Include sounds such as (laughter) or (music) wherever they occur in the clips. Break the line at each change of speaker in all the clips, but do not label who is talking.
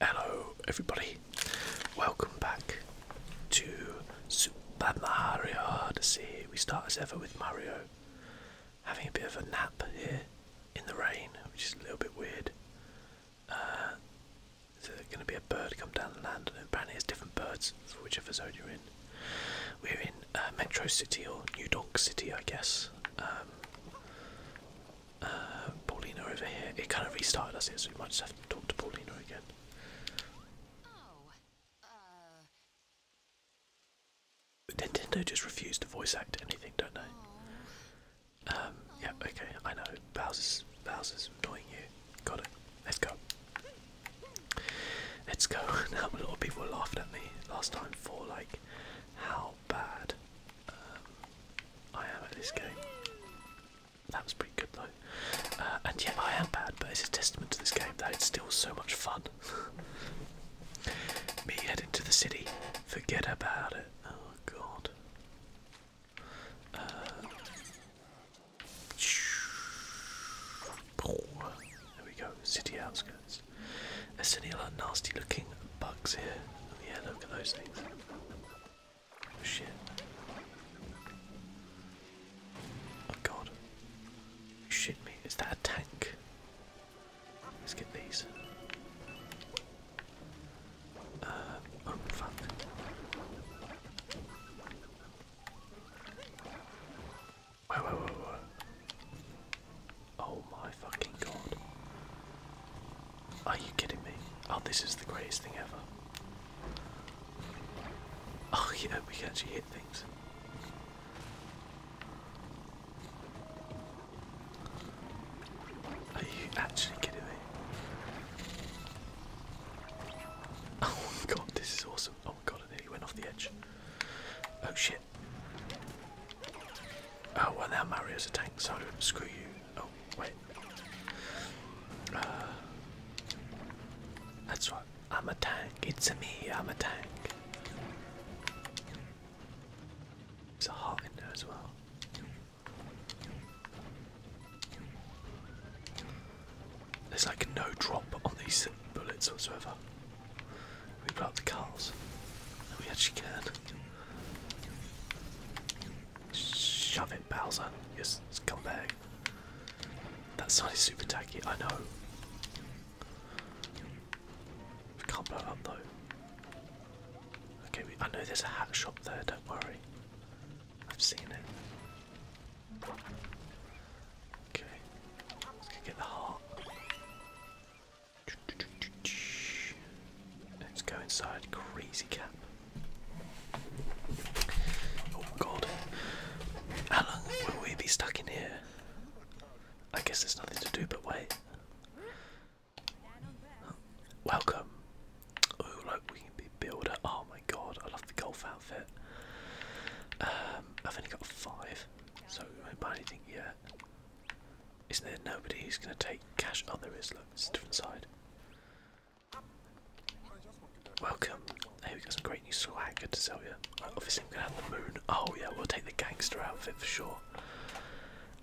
Hello, everybody. Welcome back to Super Mario Odyssey. We start as ever with Mario having a bit of a nap here in the rain, which is a little bit weird. Uh, there's going to be a bird come down the land, and apparently there's different birds for whichever zone you're in. We're in uh, Metro City or New Dock City, I guess. Um, Paulina over here. It kind of restarted us here, so we might just have to talk to Paulina again. Nintendo just refused to voice act anything, don't know. Um, yeah, okay, I know. Bowser's, Bowser's annoying you. Got it. Let's go. Let's go. (laughs) now a lot of people were laughing at me last time for like how bad um, I am at this game. That was pretty good though. Uh, and yeah, I am bad, but it's a testament to this game that it's still so much fun. (laughs) Me heading to the city, forget about it. Oh god. Uh, there we go, city outskirts. There's a silly lot of nasty looking bugs here. Oh, yeah, look at those things. Oh shit. Oh god. shit me. Is that a tank? Let's get these. Uh, oh fuck. Whoa, whoa, whoa, whoa. Oh my fucking god. Are you kidding me? Oh, this is the greatest thing ever. Oh, yeah, we can actually hit things. Are you actually kidding me? Oh my god, this is awesome. Oh my god, I nearly went off the edge. Oh shit. Oh, well, now Mario's a tank, so screw you. Oh, wait. Uh, that's what I'm a tank. It's a me. I'm a tank. It's a heart in as well. There's like no drop on these bullets whatsoever. We brought the cars. No, we actually can. Shove it, Bowser. Yes, come back. That sound is super tacky, I know. We can't blow up though. Okay, I know there's a hat shop there, don't worry. I've seen it. Okay, let's go get the heart. Let's go inside Crazy Cap. Oh god. How long will we be stuck in here? I guess there's nothing to do but wait. Welcome. Oh, look, we can be builder. Oh my god, I love the golf outfit. Um, I've only got five, so we won't buy anything yet. Isn't there nobody who's going to take cash? Oh, there is. Look, it's a different side. Welcome. Hey, we got some great new swag to sell you. obviously, I'm going to have the moon. Oh, yeah, we'll take the gangster outfit for sure.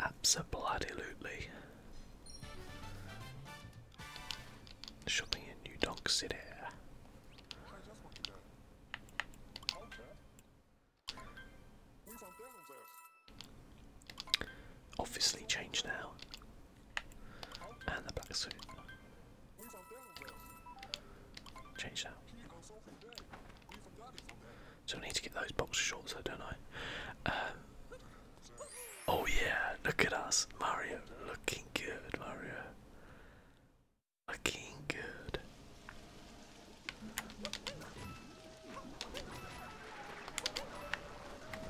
Absolutely. Shopping in New Donk City. Obviously change now. And the black suit. Change now. So I need to get those boxer shorts though, don't I? Um, oh yeah, look at us. Mario looking good, Mario. Looking good.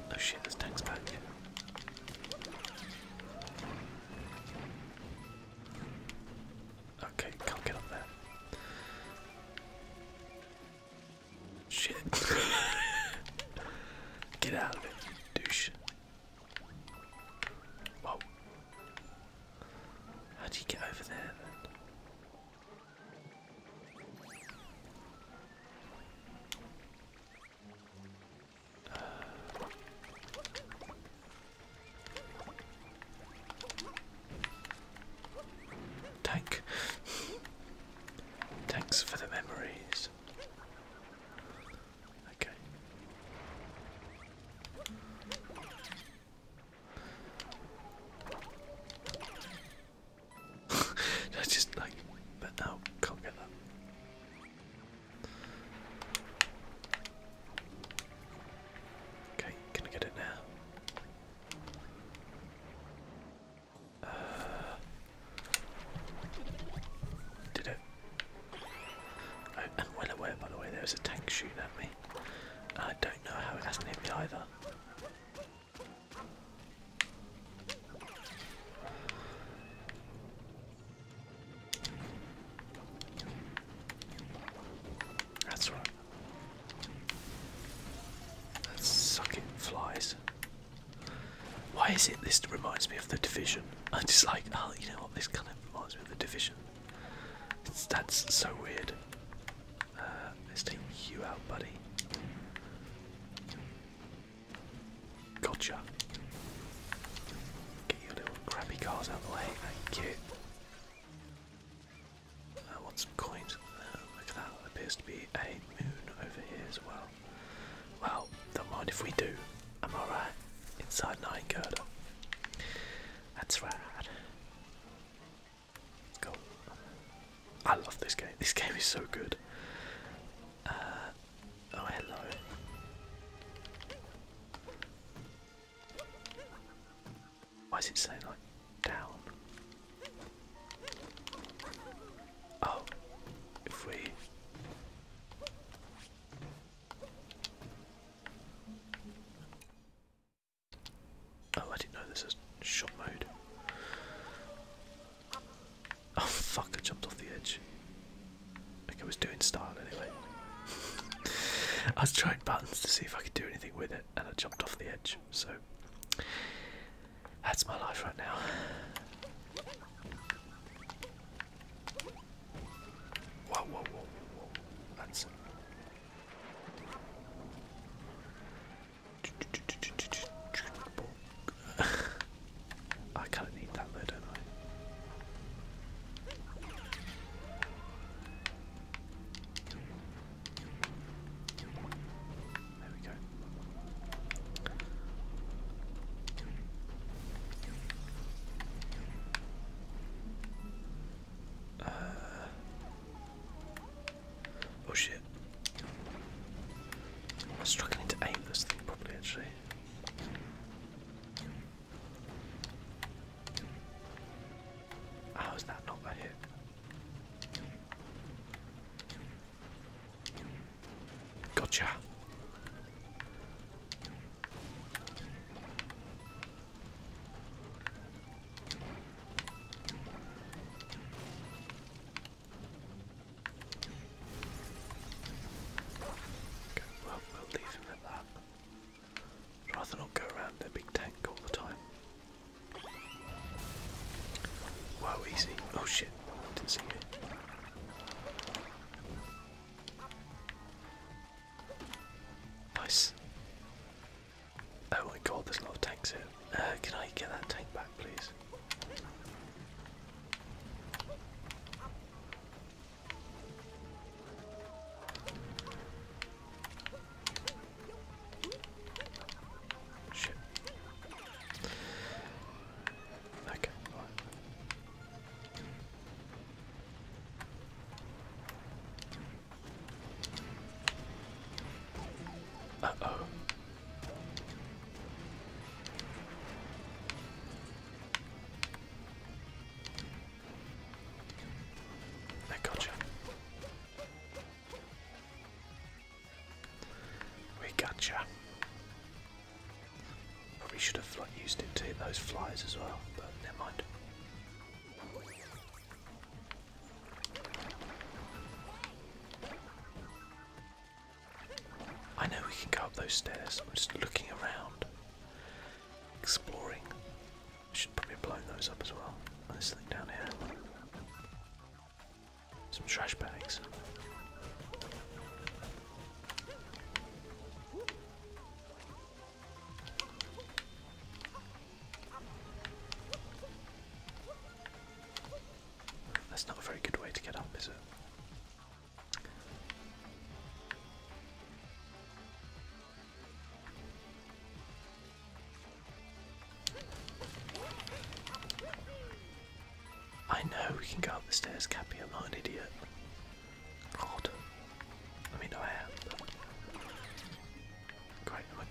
Oh shit, this tank's back. Okay, can get up there. Shit. (laughs) get out of it, douche. Whoa. How do you get over there then? Uh, Thanks for the memories. Okay. That's (laughs) just like, but now can't get that. Okay, can I get it now? Uh, did it? Oh, and well aware, by the way, there was a tank shooting at me. I don't know how it hasn't hit me either. That's right. let sucking flies. Why is it this reminds me of the division? (laughs) I'm just like, oh, you know what? This kind of reminds me of the division. that's so weird let's take you out, buddy. Gotcha. Get your little crappy cars out of the way. Thank you. I want some coins. Uh, look at that. appears to be a moon over here as well. Well, don't mind if we do. Am I Inside Nine Girdle. That's right. Let's go. I love this game. This game is so good. Uh, oh, hello. Why is it saying like down? Oh, if we. Oh, I didn't know this is shot mode. Oh fuck, I jumped off the edge. Like I was doing style anyway. (laughs) I was trying buttons to see if I could do anything with it and I jumped off the edge, so that's my life right now. Whoa, whoa, whoa, whoa, (laughs) I kind of need that though, don't I? There we go. Uh, Oh shit. I'm struggling to aim this thing properly actually. How is that not a hit? Gotcha. Okay, well, we'll leave him at that. Rather not go around their big tank all the time. Wow, easy. Oh shit, didn't see it. Nice. Oh my god, there's a lot of tanks here. Uh, can I get that tank back, please? Shit. Okay, uh-oh. I gotcha. We gotcha. Probably should have used it to hit those flies as well, but never mind. I know we can go up those stairs. I'm just looking around, exploring. I should probably blow those up as well. And this thing down here. Some trash bags. That's not a very good way to get up, is it? I know we can go up the stairs, Cappy, I'm not an idiot. God. I mean, I am, Great, I'm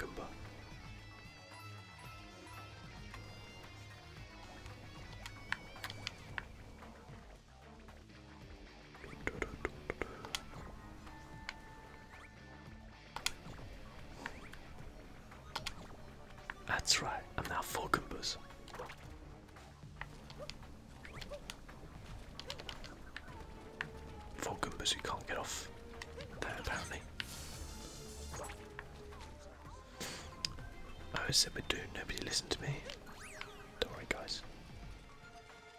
that's right, I'm now full compass. Full compass, you can't get off there apparently. I always said we'd do, nobody listen to me. Don't worry guys.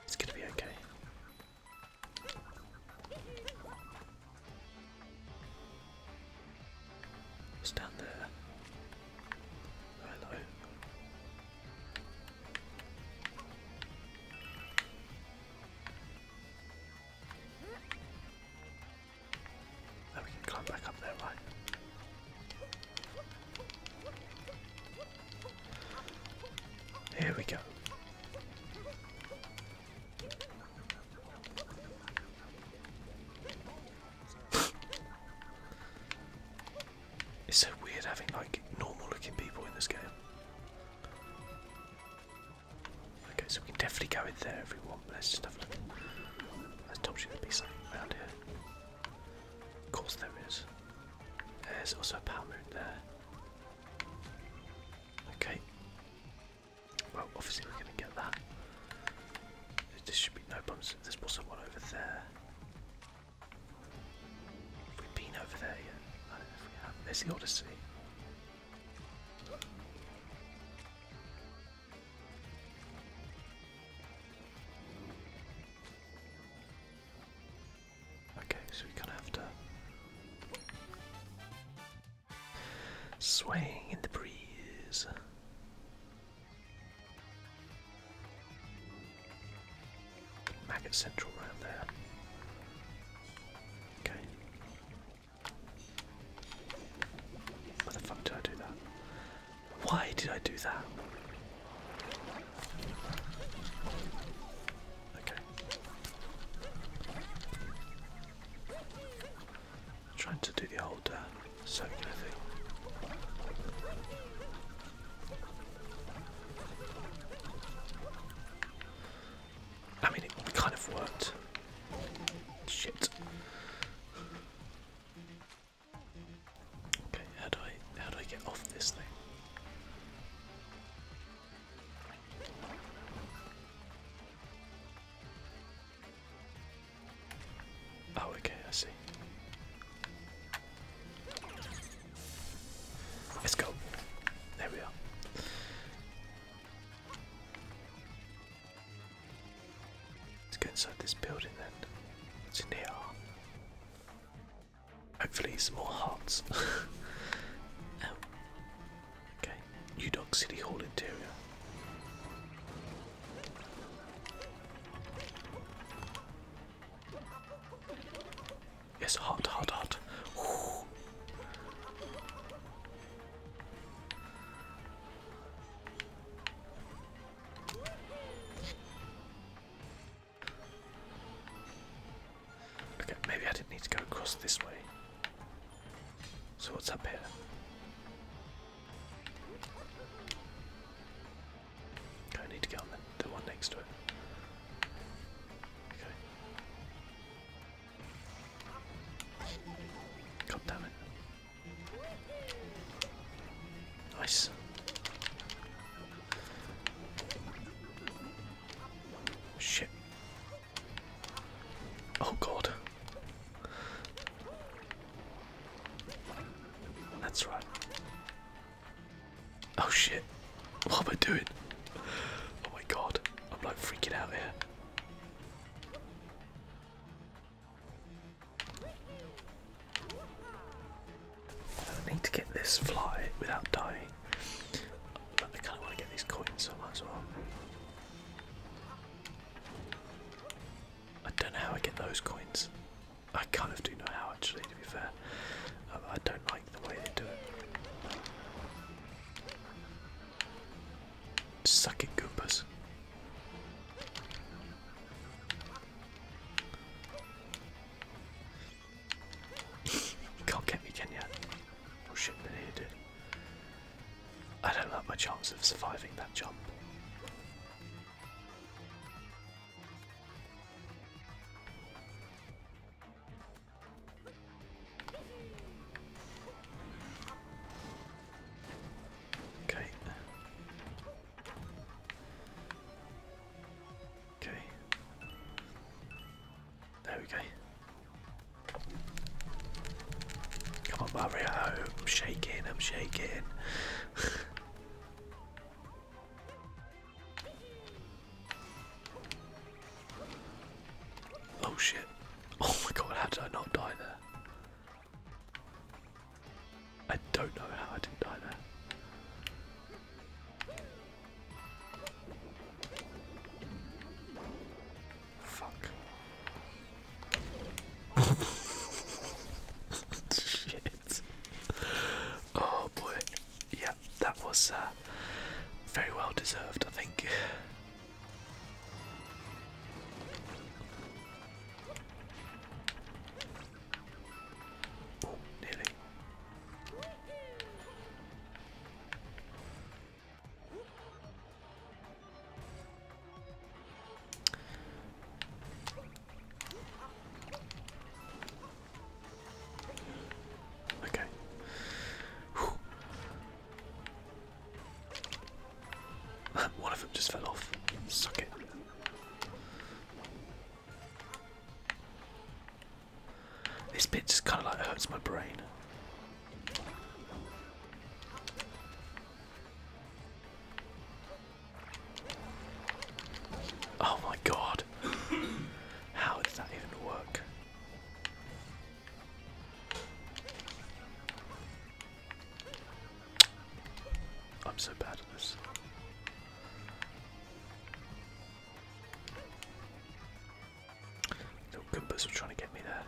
It's gonna be okay. What's down there? Oh, hello. Now we can climb back up there, right? Here we go. it's so weird having like normal looking people in this game. Okay, so we can definitely go in there if we want, let's just have a look. I told you there'd be something around here. Of course there is. There's also a power moon there. Okay. Well, obviously we're going to get that. This should be no bumps. There's also one over there. Have we been over there yet? I don't know if we have. There's the Odyssey. Okay, so we kind of have to sway in the breeze. Maggot Central round there. Okay. Why the fuck did I do that? Why did I do that? Okay. trying to do the old uh, circular thing. I mean, it kind of worked. Shit. Okay, how do I how do I get off this thing? Oh, okay, I see. Let's go. There we are. Let's go inside this building then. What's in Hopefully it's more hearts. (laughs) oh. Okay. New Dog City Hall interior. It's hot, hot, hot. Okay, maybe I didn't need to go across this way. So, what's up here? Okay, I need to get on the, the one next to it. Okay. God damn it. Nice. Shit. Oh god. That's right. Oh shit. What am I doing? Oh my god. I'm like freaking out here. I need to get this fly without dying. But I kind of want to get these coins, as well. I don't know how I get those coins. I kind of do know how, actually, to be fair. Um, I don't like the way they do it. Suck it, Goombas. Can't get me, can ya? Oh shit, been here, I don't have my chance of surviving that jump. Okay. Okay. There we go. Come on, Mario. I'm shaking, I'm shaking. (laughs) Oh shit. (laughs) Oh my god, how did I not die there? I don't know how I didn't die there. Fuck. (laughs) Shit. Oh boy. Yeah, that was uh, very well deserved, I think. Oh, nearly. Okay. Whew. (laughs) One of them just fell off. Suck it. This bit just kind of like hurts my brain. Oh my god. (coughs) How does that even work? I'm so bad at this. Little Goombas were trying to get me there.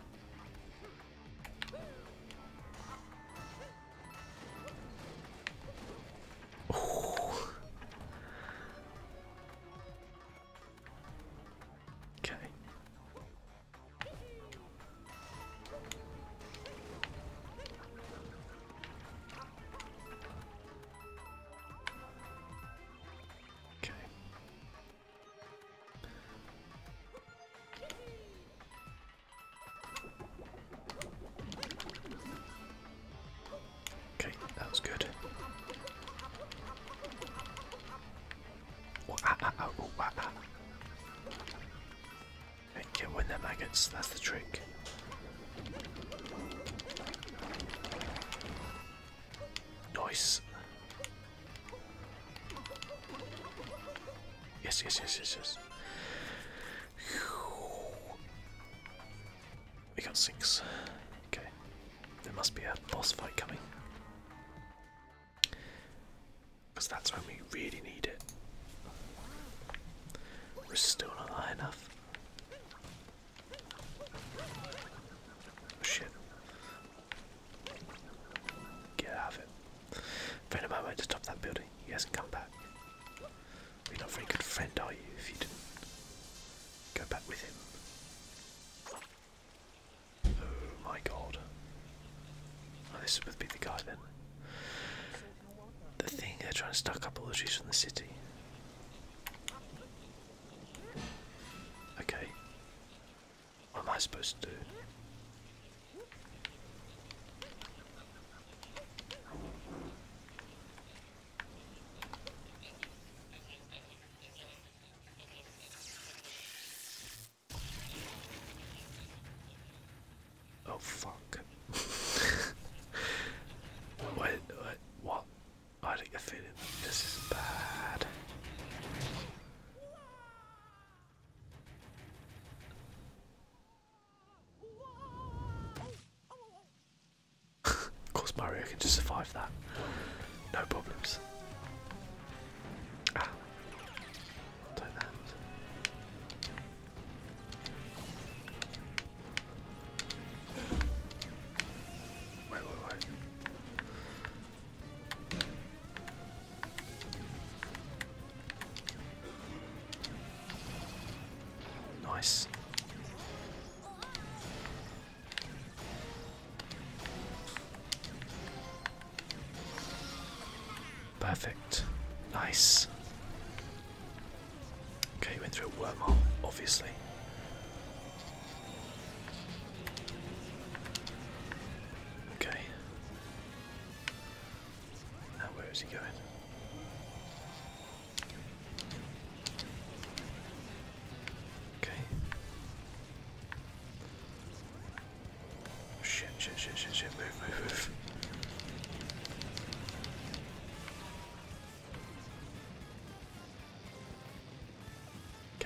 Okay. Okay. Okay, that was good. Oh, ah, can ah, ah, ah, win their maggots, that's the trick. Nice. Yes, yes, yes, yes, yes. We got six. Okay. There must be a boss fight coming. Because that's when we really need it. We're still not high enough. Oh, shit. Get out of it. Friend of mine went to top that building. He hasn't come back. You're not very good friend, are you, if you didn't go back with him? Oh my god. Oh, this would be the guy then. The thing, they're trying to stack up all the trees from the city. Okay. What am I supposed to do? Oh fuck. (laughs) what, what, I think I feel it. This is bad. (laughs) of course Mario can just survive that. No problems. Wait, wait, wait. Nice. Perfect. Nice. Okay, you went through a wormhole, obviously. Okay. Now, where is he going? Okay. Oh, shit, shit, shit, shit, shit, move, move, move.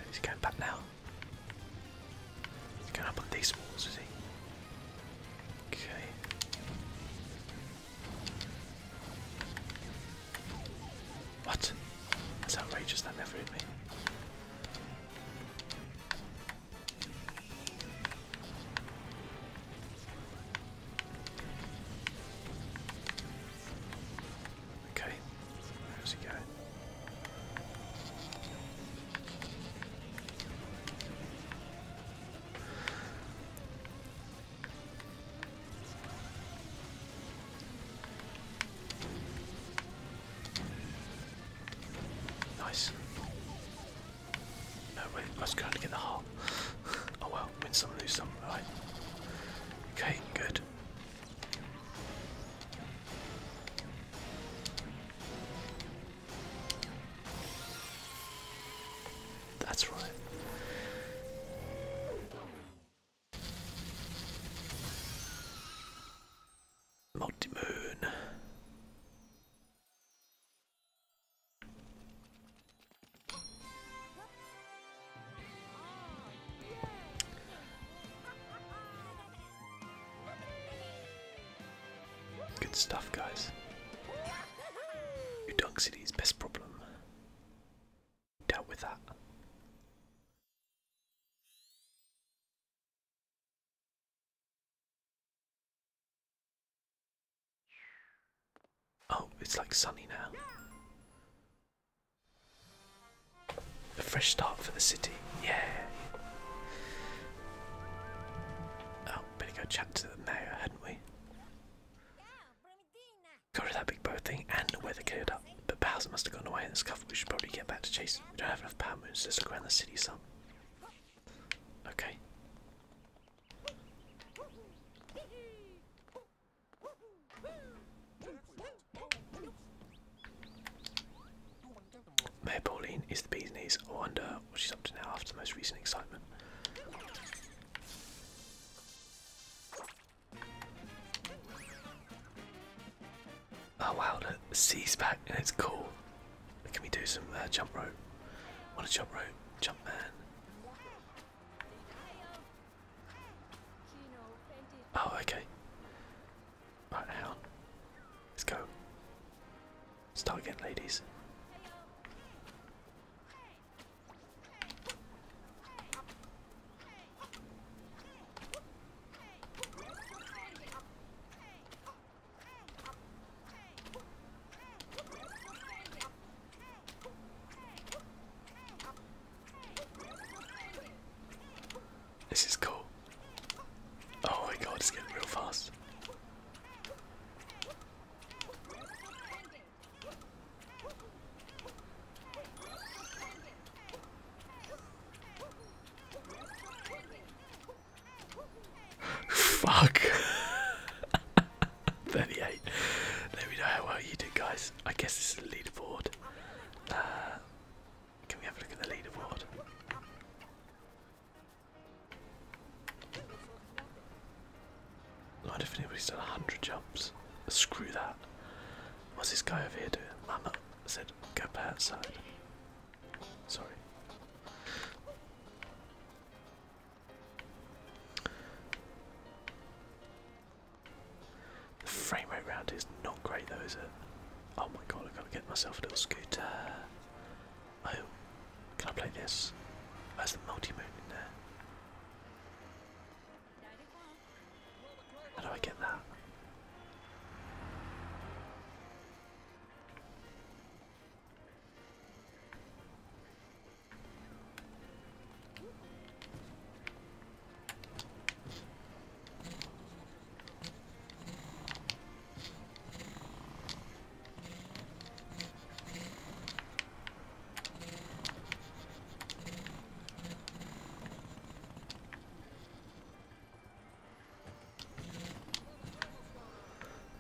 he's going back now. He's going up on these walls, is he? Okay. What? It's outrageous, that never hit me. Okay, where's he going? Nice. No, wait, I was trying get the heart. oh well, win some, lose some, right? Okay, good. That's right. Multi-moon. Good stuff, guys. Udunk City's best problem. Dealt with that. Oh, it's like sunny now. A fresh start for the city. Yeah. Oh, better go chat to the mayor, hadn't we? Got to that big boat thing and weather cleared but powers must have gone away in this cover. We should probably get back to chasing. We don't have enough power moons. Let's look around the city some. Okay. Mayor Pauline is the bee's knees. I wonder what she's up to now after the most recent excitement. Oh wow, the sea's back and it's cool. Can we do some uh, jump rope? Want a jump rope, jump man. Oh, okay. Right, hang on. Let's go. Start again, ladies. This is cool. Oh my god, it's getting real fast. Fuck. (laughs) 38. There we go. How well you did, guys. I guess this is the leaderboard. Uh, can we have a look at the leaderboard? I wonder if anybody's done 100 jumps. Screw that. What's this guy over here doing? said Kapat outside. Sorry. The frame rate round is not great though, is it? Oh my god, i got to get myself a little scooter. Oh, can I play this? Where's the multi moon in there? How do I get that?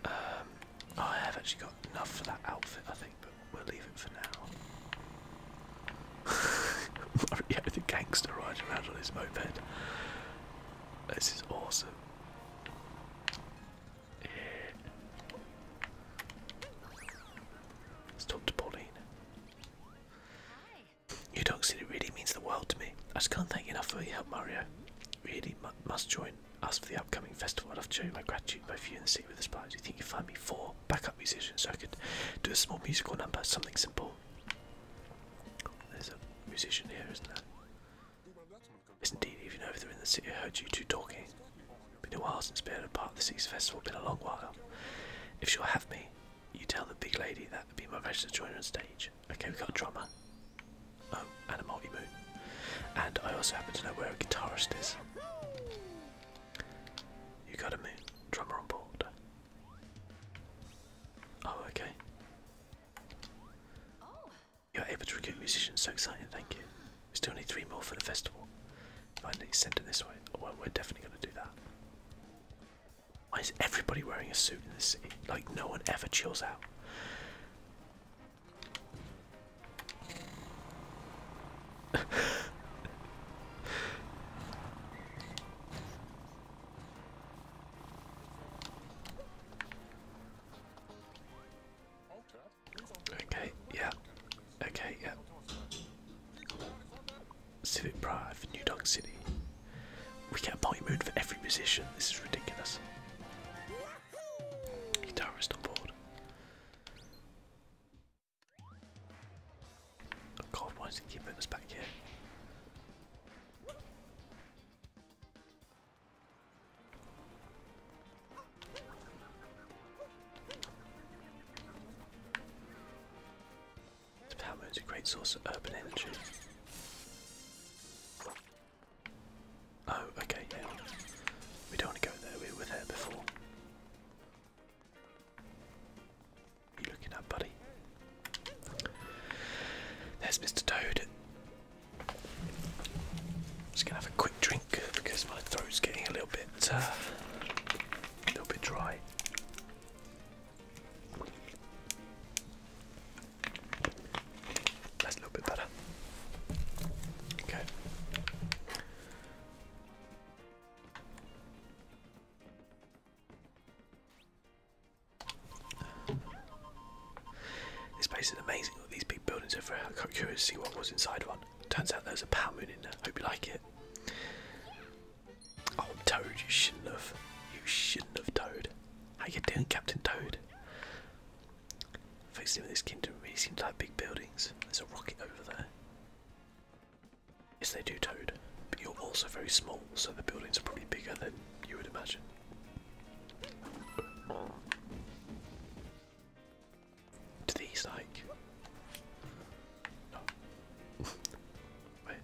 Um, I have actually got enough for that outfit, I think, but we'll leave it for now. Mario (laughs) the gangster riding around on his moped. This is awesome. Let's talk to Pauline. You don't see, it really means the world to me. I just can't thank you enough for your help, Mario. Really must join us for the upcoming festival. I'd love to show you my gratitude both you and the city with the Do You think you would find me four backup musicians so I could do a small musical number, something simple. There's a musician here, isn't there? Yes, indeed, even over there in the city, I heard you two talking. Been a while since being a part of the city's festival, been a long while. If you'll have me, you tell the big lady that would be my pleasure to join her on stage. Okay, we've got a drummer. Oh, and a multi moon. And I also happen to know where a guitarist is. You got a moon. Drummer on board. Oh, okay. You're able to recruit musicians, so exciting, thank you. We still need three more for the festival. If I need to send it this way, we're definitely going to do that. Why is everybody wearing a suit in this city? Like, no one ever chills out. (laughs) okay, yeah. Okay, yeah. Civic Pride for New Dunk City. We get a party moon for every musician. This is ridiculous. Guitarist on board. Oh god, why does he keep us back here? The power moon's a great source of urban energy. Oh, okay, We don't want to go there, we were there before. you looking at, buddy? There's Mr. Toad. just gonna have a quick drink because my throat's getting a little bit, uh, a little bit dry. That's a little bit better. Okay. This place is amazing with these big buildings over here. I got curious to see what was inside one. Turns out there's a power moon in there. Hope you like it. Oh, Toad, you shouldn't have. You shouldn't have, Toad. How you doing, Captain Toad? Folks in this kingdom really seems to have big buildings. There's a rocket over there. Yes, they do, Toad. But you're also very small, so the buildings are probably bigger than you would imagine. Do these like no. Wait.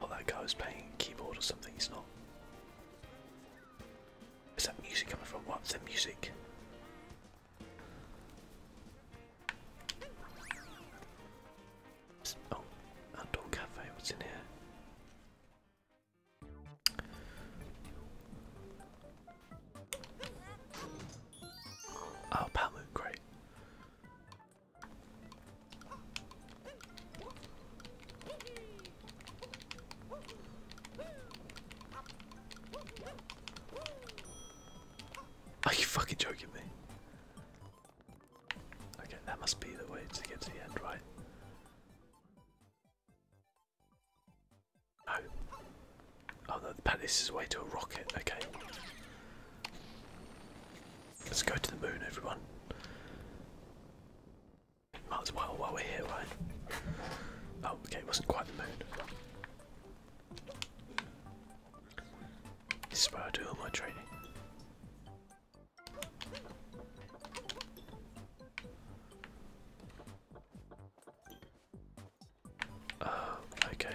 Oh, that guy was playing keyboard or something. He's not. Is that music coming from? What's the music? Oh, outdoor cafe. What's in here? Oh, Palmoon, great. Are you fucking joking me? Okay, that must be the way to get to the end, right? No. Oh no, oh, the palace is way to a rocket, okay. Let's go to the moon, everyone. Might as well while we're here, right? Oh, okay, wasn't quite the moon. This is where I do all my training. Oh, okay.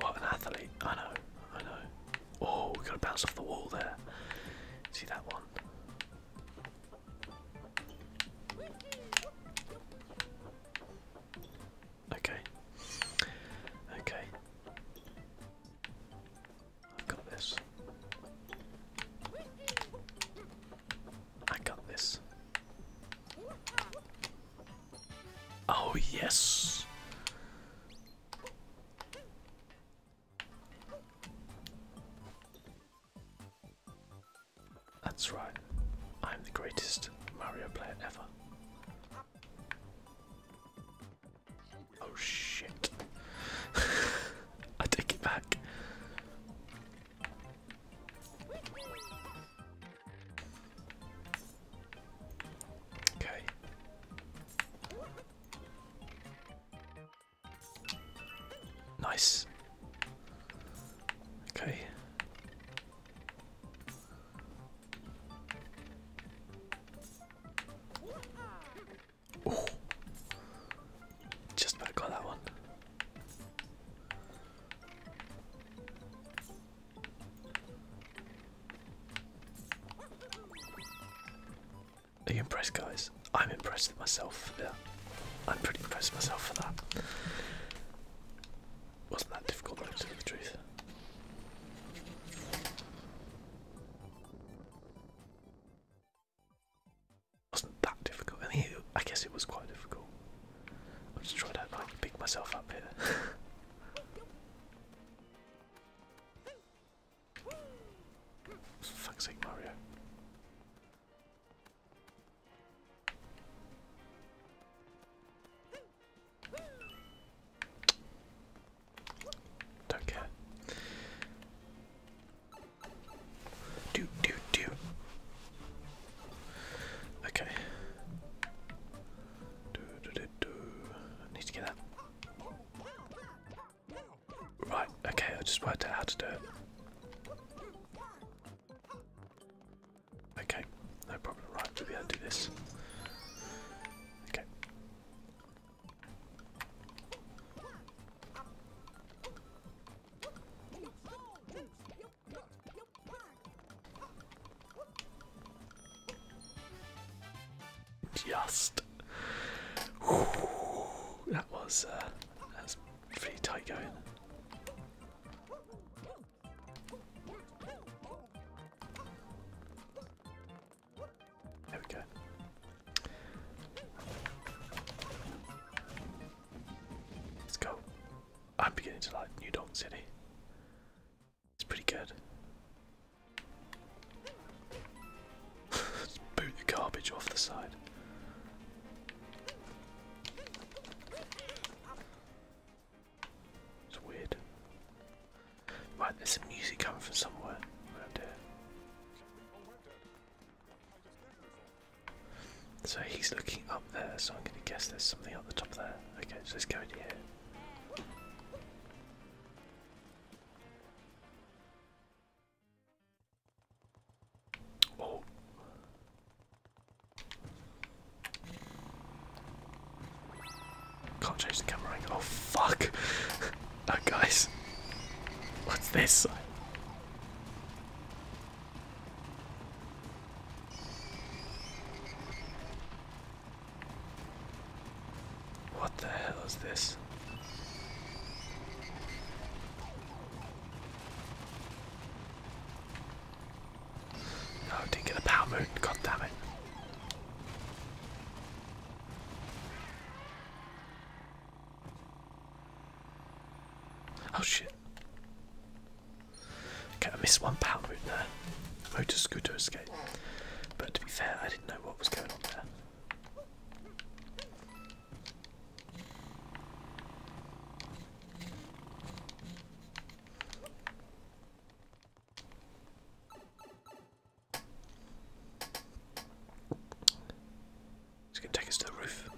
What an athlete. I know, I know. Oh, we gotta bounce off the wall there. See that one? Okay. Okay. I've got this. I got this. Oh, yes. That's right. I'm the greatest Mario player ever. Oh shit. (laughs) I take it back. Okay. Nice. Okay. Oh. Just about got that one. Are you impressed, guys? I'm impressed with myself. I'm pretty impressed with myself for that. Wasn't that difficult, to tell the truth. Wasn't that difficult? I I guess it was quite difficult. I'm just that. I can pick myself up here. (laughs) For sake, Mario. Don't care. Do do do. Okay. I need to get that. Right, okay, I just worked out how to do it. Okay, no problem. Right, we'll be able to do this. Okay. Just. that was, uh, that was pretty tight going. There we go. Let's go. I'm beginning to like New Dog City. It's pretty good. (laughs) boot the garbage off the side. It's weird. Right, there's some music coming from somewhere around here. So he's looking up there, so I'm going to guess there's something up the top there. Okay, so let's go in here. Oh. Can't change the camera Oh fuck! (laughs) oh guys. What's this? What the hell is this? No, didn't get a power moon, god damn it. Oh shit. Okay, I missed one power move there. Motor scooter escape. But to be fair, I didn't know what was going on there. It's going to take us to the roof.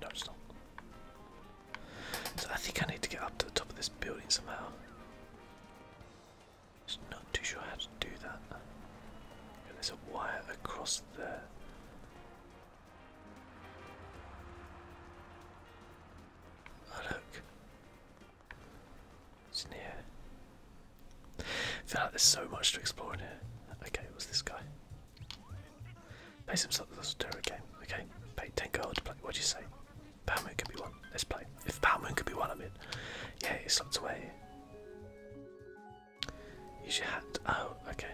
No, it's not. I think I need to get up to the top of this building somehow. not too sure how to do that. there's a wire across there. Oh look. It's in here. I feel like there's so much to explore in here. Okay, what's this guy? Pays himself to do again. Okay, pay 10 gold to play. What'd you say? Power Moon could be one. Let's play. If Power Moon could be one, I mean. Yeah, it slipped away. Use your hat. Oh, okay.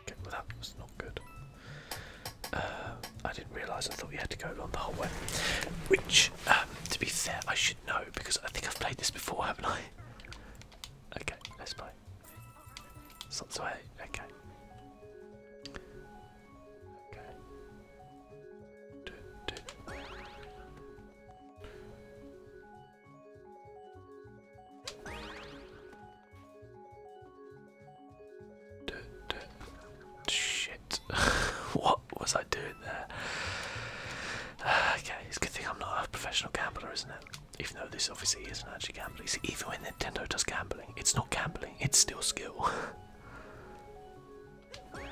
Okay, well that was not good. Uh, I didn't realise I thought we had to go along the whole way. Which um, to be fair, I should know because I think I've played this before, haven't I? (laughs) Okay, let's play. Sansue, okay. Okay. Shit. (laughs) what was I doing there? (sighs) okay, it's a good thing I'm not a professional gambler, isn't it? Even though this obviously isn't actually gambling. even when Nintendo does gambling, it's not gambling, it's still skill. (laughs)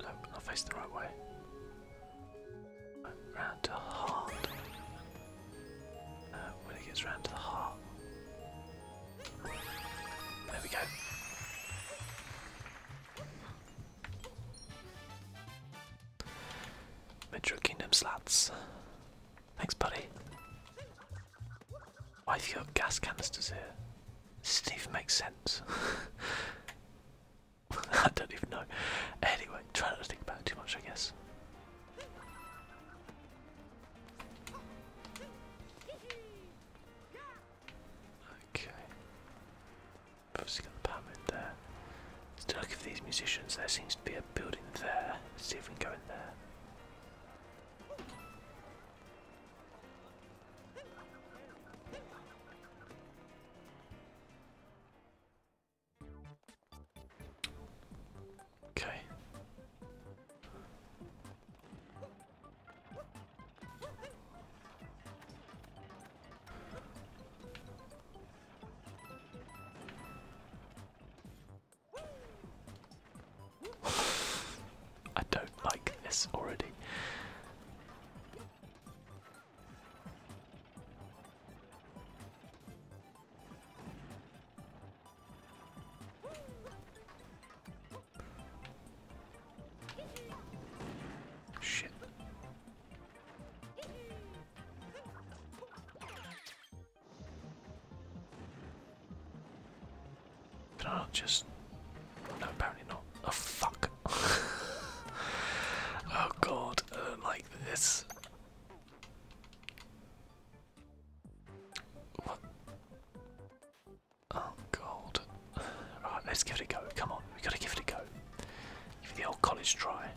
No, not facing the right way round to heart. Uh, when it gets round to the heart. There we go. Metro Kingdom slats. Thanks, buddy. Why have you got gas canisters here? This does even make sense. (laughs) I don't even know. Anyway, try not to think about it too much, I guess. Okay. Obviously got the pyramid there. let look at these musicians. There seems to be a building there. Let's see if we can go in there. Okay. I don't like this already. Shit. Can I not just No apparently not. Oh fuck. (laughs) oh god, um, like this. Oh, gold. Right, let's give it a go. Come on, we have gotta give it a go. Give the old college try.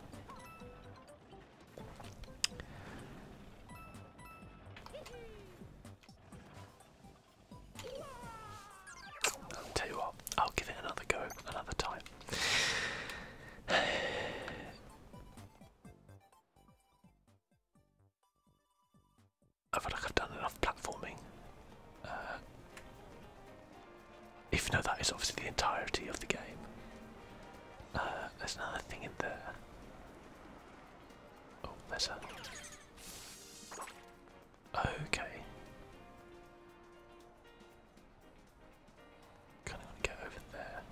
tell you what, I'll give it another go another time. I feel like I've done enough platforming. Uh, even that is obviously the entirety of the game. Uh, there's another thing in there. Oh, there's a. Okay. Kind of want to get over there.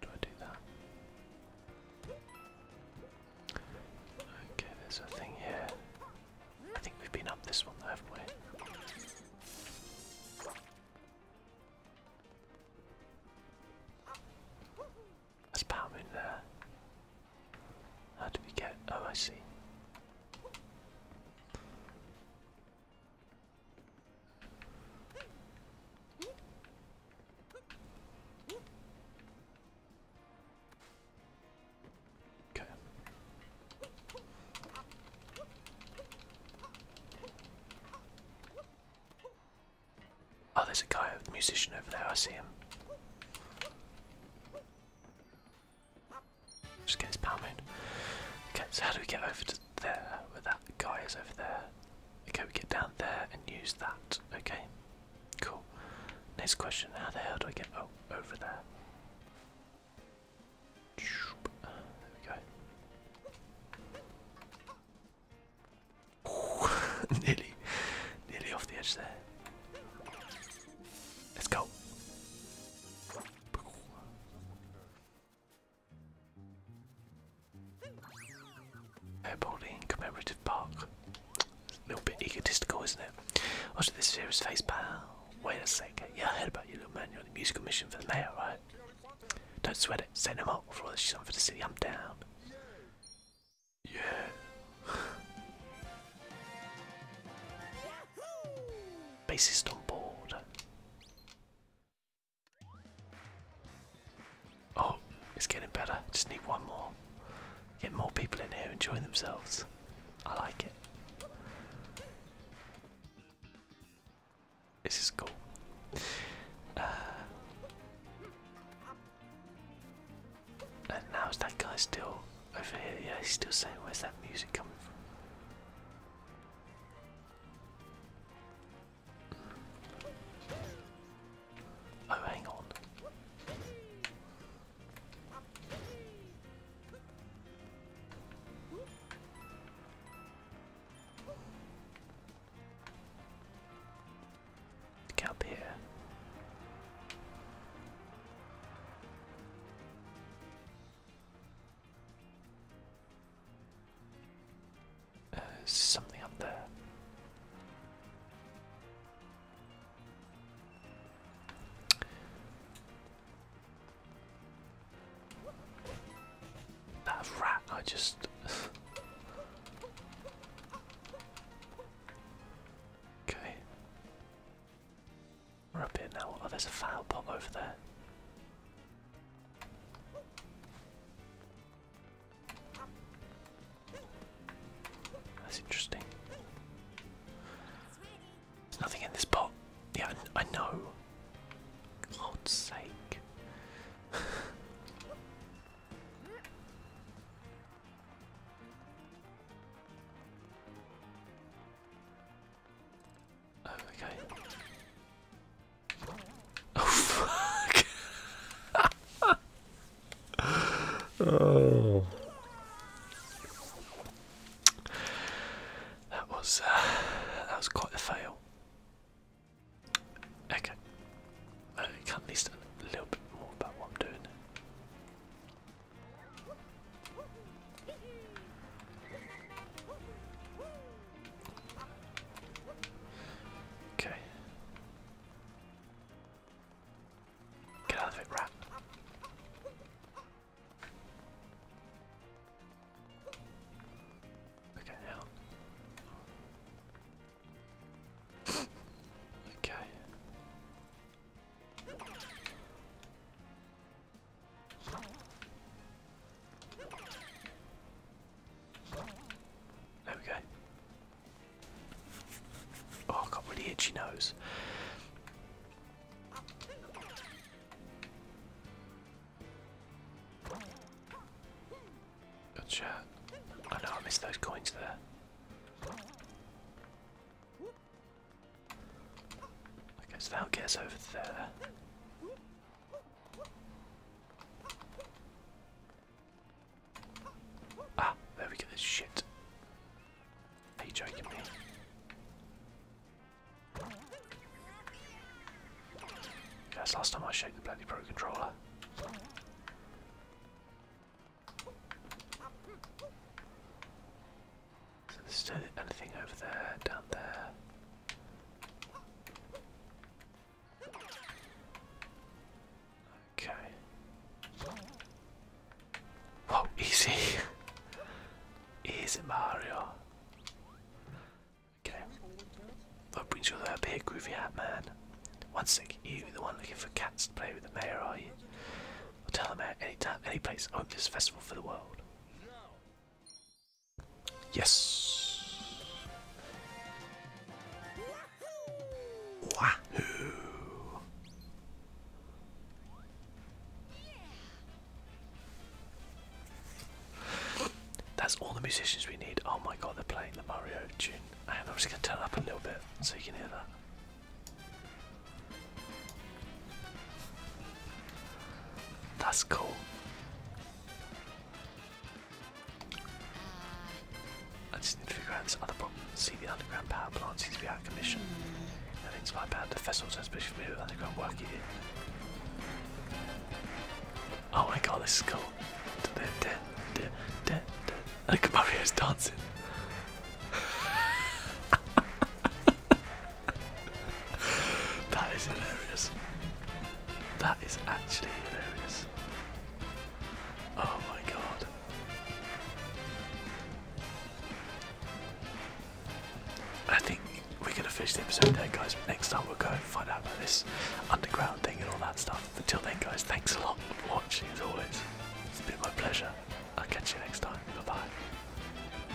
Do I do that? Okay, there's a thing here. I think we've been up this one though, haven't we? There's Power Moon there. How do we get? Oh, I see. Okay. Oh, there's a guy, a musician over there. I see him. Just get his power in. Okay, so how do we get over to there, where that guy is over there. Okay, we get down there and use that. Okay, cool. Next question, how the hell do I get oh, over there? There we go. (laughs) nearly, nearly off the edge there. Let's go. Airboarding commemorative park. A little bit egotistical, isn't it? Also, this serious face pal. Wait a second. Yeah, I heard about you, little man. You're on the musical mission for the mayor, right? Don't sweat it. Send him up. For all this she's on for the city, I'm down. Yeah. (laughs) Bassist on board. Oh, it's getting better. Just need one more. Get more people in here enjoying themselves. I like it. This is cool. Uh, and now is that guy still over here? Yeah, he's still saying, Where's that music coming from? Oh, hang on. Get up here. Uh, something up there. That rat, I just. okay. We're up here now. Oh, there's a foul pot over there. That's interesting. There's nothing in this pot. Yeah, I, know. God's sake. (laughs) oh, okay. Oh That was uh, that was quite a fail. Okay. I can at least a little bit more about what I'm doing. Okay. Get out of it, rat. Okay, okay. There we go. Oh, i got really itchy nose. Good shot. I know I missed those coins there. I guess that'll get us over there. Ah, there we get this shit. Are you joking me? That's last time I shake the bloody pro controller. So there's anything over there, down there. Okay. Whoa, easy. easy Mario. Okay. What brings you all the way up here, Groovy Hat Man? One sec, you the one looking for cats to play with the mayor, are you? I'll tell the mayor any time, any place, I this festival for the world. Yes. That's all the musicians we need. Oh my god, they're playing the Mario tune. And I'm just going to turn up a little bit so you can hear that. That's cool. I just need to figure out this other problem. See, the underground power plant seems to be out of commission. And it's my bad. The vessels, especially for me with underground work here. Oh my god, this is cool. (laughs) Look, at Mario's dancing. (laughs) that is hilarious. That is actually hilarious. Oh my god. I think we're gonna finish the episode there guys, next time we'll go and find out about this underground thing and all that stuff. Until then guys, thanks a lot for watching as always. It's been my pleasure. I'll catch you next time. Bye bye.